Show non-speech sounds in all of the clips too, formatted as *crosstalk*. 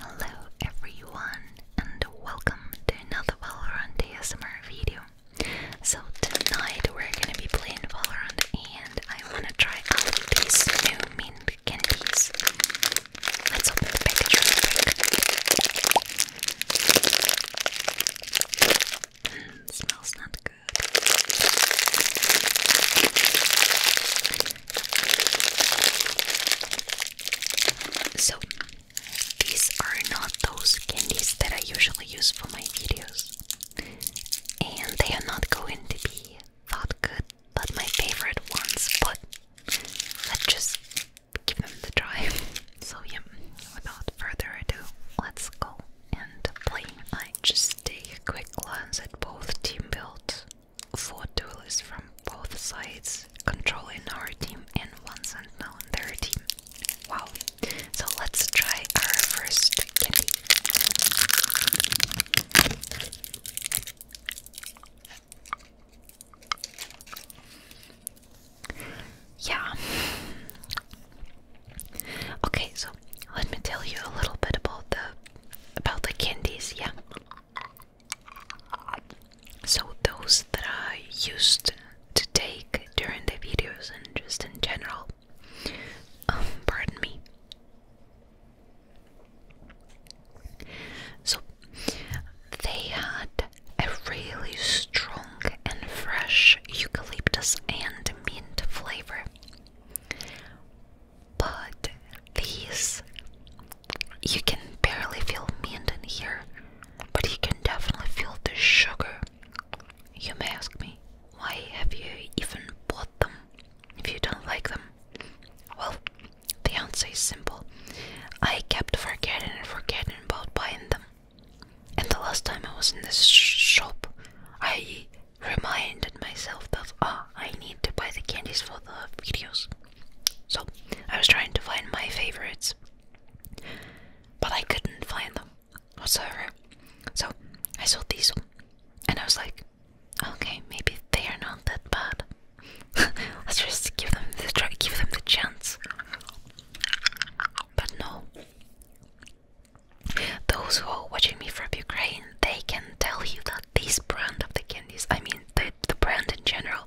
Hello everyone and welcome to another Valorant ASMR video. So tonight we're gonna be playing Valorant and I wanna try out these new mint candies. Let's open the package hmm, smells not good. So, these are not those candies that I usually use for my videos, and they are not going to be that good, but my favorite ones. But let's just give them the try. *laughs* So, yeah, without further ado, let's go and play. I just take a quick glance at both team builds four duelists from both sides controlling our team and one sentinel on their team. Wow. So let's try our first candy. Yeah. Okay, so let me tell you a little bit about the about the candies, yeah. So those that I used to take during the videos and just in general, um, pardon me. So they had a really strong and fresh eucalyptus and mint flavor. But these, you can barely feel mint in here, but you can definitely feel the sugar. You may ask me, why have you even bought them if you don't like them? Well, the answer is simple. I kept forgetting and forgetting about buying them. And the last time I was in this shop, I reminded myself that ah, I need to buy the candies for the videos. So I was trying to find my favorites, but I couldn't find them whatsoever. So I saw these, and I was like, okay, maybe they are not that bad. *laughs* Let's just give them the try, give them the chance. But no, those who are watching me from Ukraine, they can tell you that this brand of the I mean, the, the brand in general.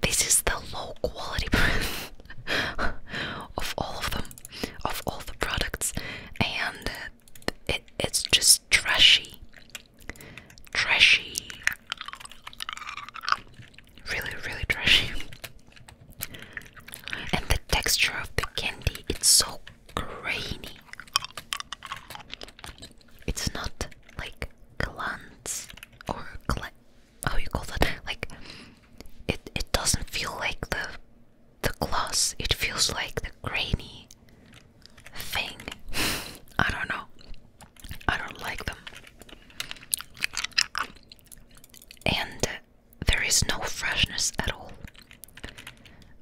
This is the low quality *laughs* brand of all of them, of all the products, and it, it's just trashy. Trashy. Really, really trashy. And the texture of the candy, it's so grainy. It's not like glands or gla how you call that? Like it it doesn't feel like the the gloss. It feels like the grainy thing. *laughs* I don't know. I don't like them. And there is no freshness at all.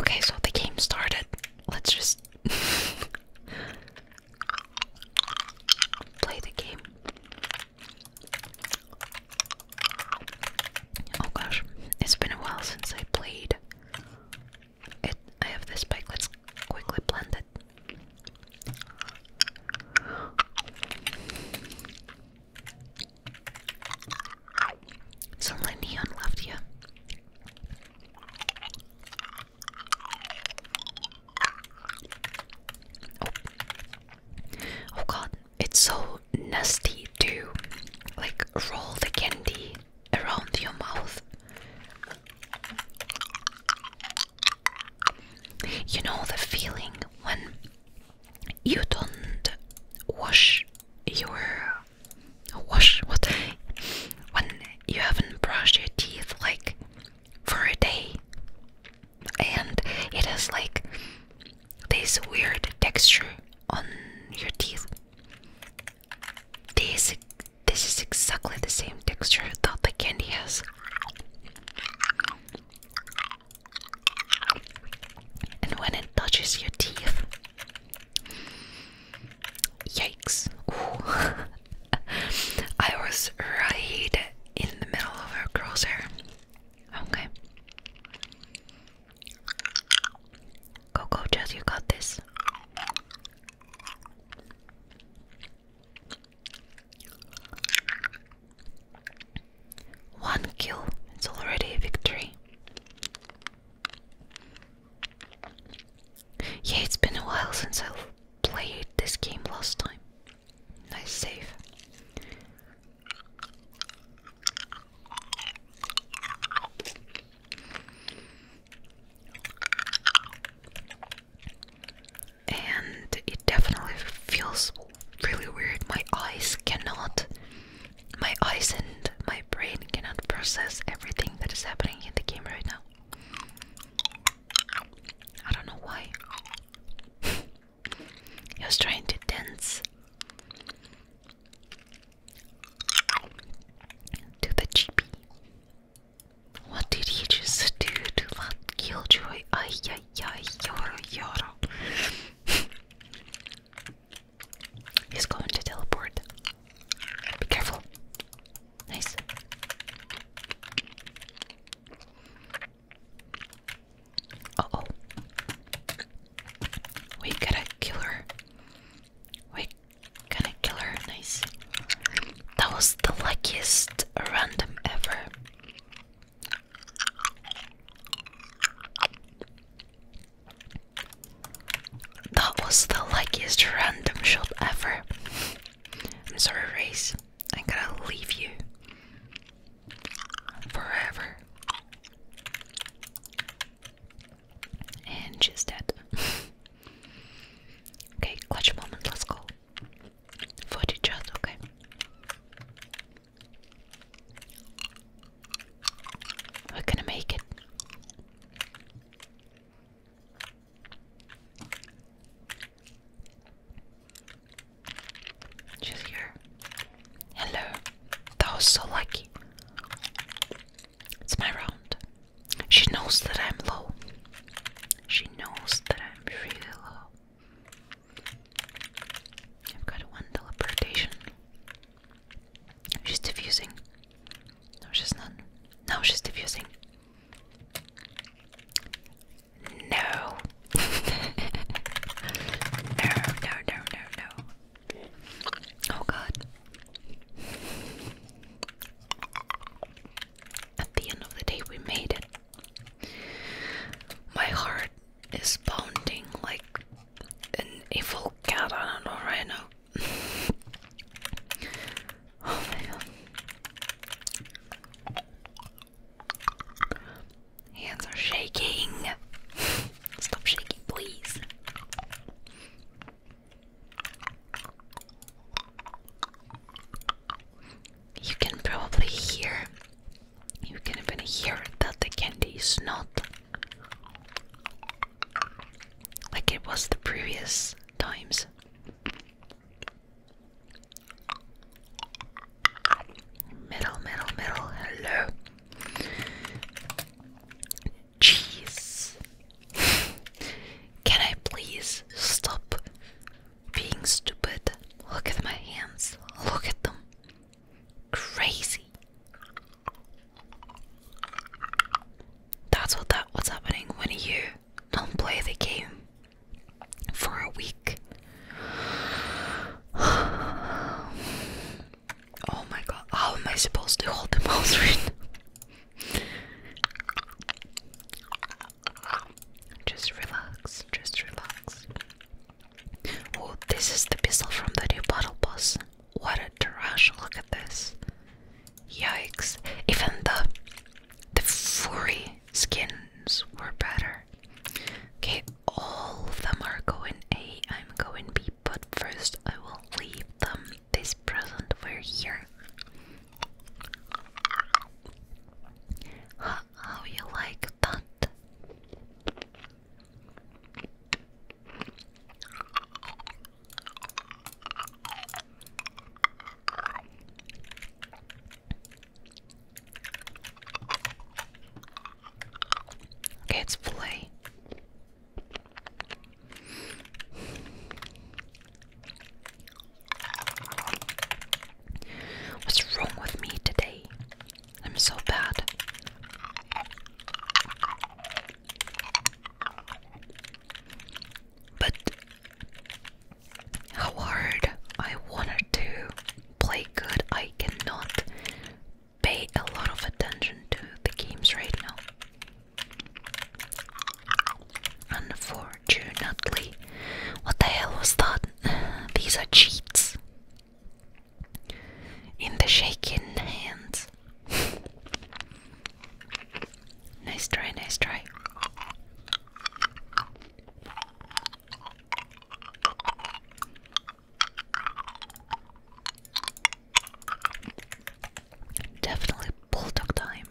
Okay, so the game started. Let's just play the game. Oh gosh, it's been a while since I played. It, I have this bike. Let's quickly blend it. It's only neon left here. Oh. oh. god, it's so nasty to like roll the candy around your mouth. You know the feeling when you don't wash your wash what when you haven't brushed your teeth like for a day and it has like this weird texture on your teeth this this is exactly the same texture that the candy has and when it touches your teeth Yikes. *laughs* I was right in the middle of her crosshair. Okay. Coco, just you got this. One kill, it's already a victory. Yeah, it's been a while since I played this game last time. Nice save. And it definitely feels really weird. My eyes cannot my eyes and my brain cannot process everything that is happening in the game right now. I don't know why. *laughs* he was trying to dance to the GP. What did he just do to killjoy? Ay, ay, yoro, yoro. *laughs* He's going to teleport. Be careful. Nice. Uh oh. We gotta kill her. We gotta kill her. Nice. That was the luckiest random ever. That was the luckiest random shot ever. I'm sorry, Race. I'm gonna leave you forever. And just *laughs* that. okay, clutch moment, let's go. Footage shot, okay. We're gonna make it. She's here. Hello. That was so lucky. It's my round. She knows that I'm low. She knows that I'm really low. I've got one teleportation. She's diffusing. No, she's not. No, she's diffusing. *laughs* No. no, no, no, no, Oh god. At the end of the day, we made it. My heart is pounding like an evil cat. I don't know right now. *laughs* oh my god. Hands are shaking. *laughs* Stop shaking, please. You can probably hear, you can even hear that the candy is not like it was the previous times. Middle, middle, middle, hello. Jeez. Can I please stop being stupid? Look at my hands. Look at them. Crazy. That's what that what's happening when you don't play the game for a week. *sighs* Oh my god, how am I supposed to hold the mouse *laughs* Just relax, just relax. Oh, this is the pistol from the new battle boss. What a trash, look at this. Yikes. Even the the furry skins were better. Okay, all of them are going A, I'm going B, but first I will leave them this present We're here. how you like that? it's filet. What's wrong with me today? I'm so bad. But how hard I wanted to play good, I cannot pay a lot of attention to the games right now. Unfortunately, what the hell was that? *laughs* These are cheats in the shaking hands. *laughs* nice try, nice try. Definitely bulldog time.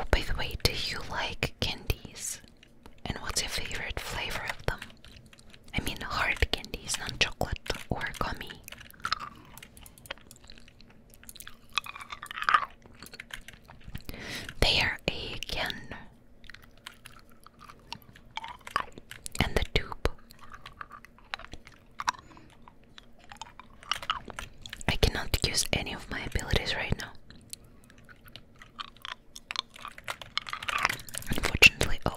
Oh, by the way, do you like candies? And what's your favorite flavor of them? I mean, hard candies, not chocolate or gummy. There again, And the tube. I cannot use any of my abilities right now. Unfortunately, oh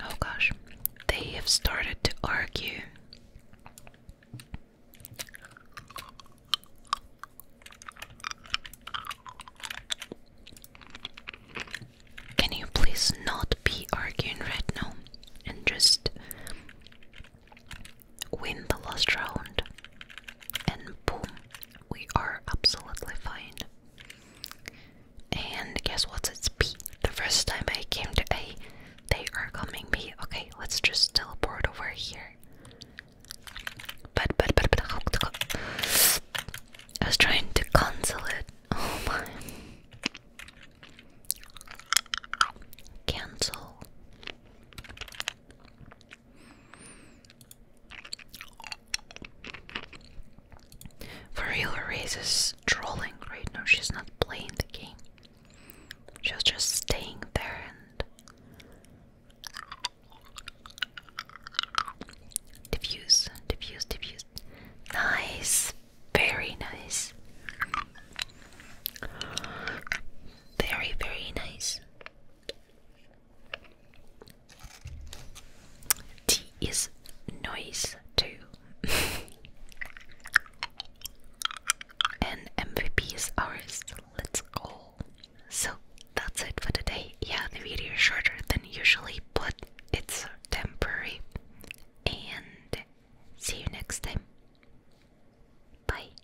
Oh gosh, they have started to argue. Can you please not be arguing right now and just win the last round? And boom, we are absolutely fine. And guess what's It's B. The first time I came to A, they are coming B. Okay, let's just teleport over here. But, but, but, but, I was trying to cancel it. *laughs* Oh my. Cancel. For real, Raze is trolling right now. She's not playing the game. She's just staying there and diffuse, diffuse, diffuse. Nice, very nice, very, very nice. T is noise too. *laughs* and MVP is ours. Let's go. So that's it for today. Yeah, the video is shorter than usually, but it's temporary. And see you next time. Bye.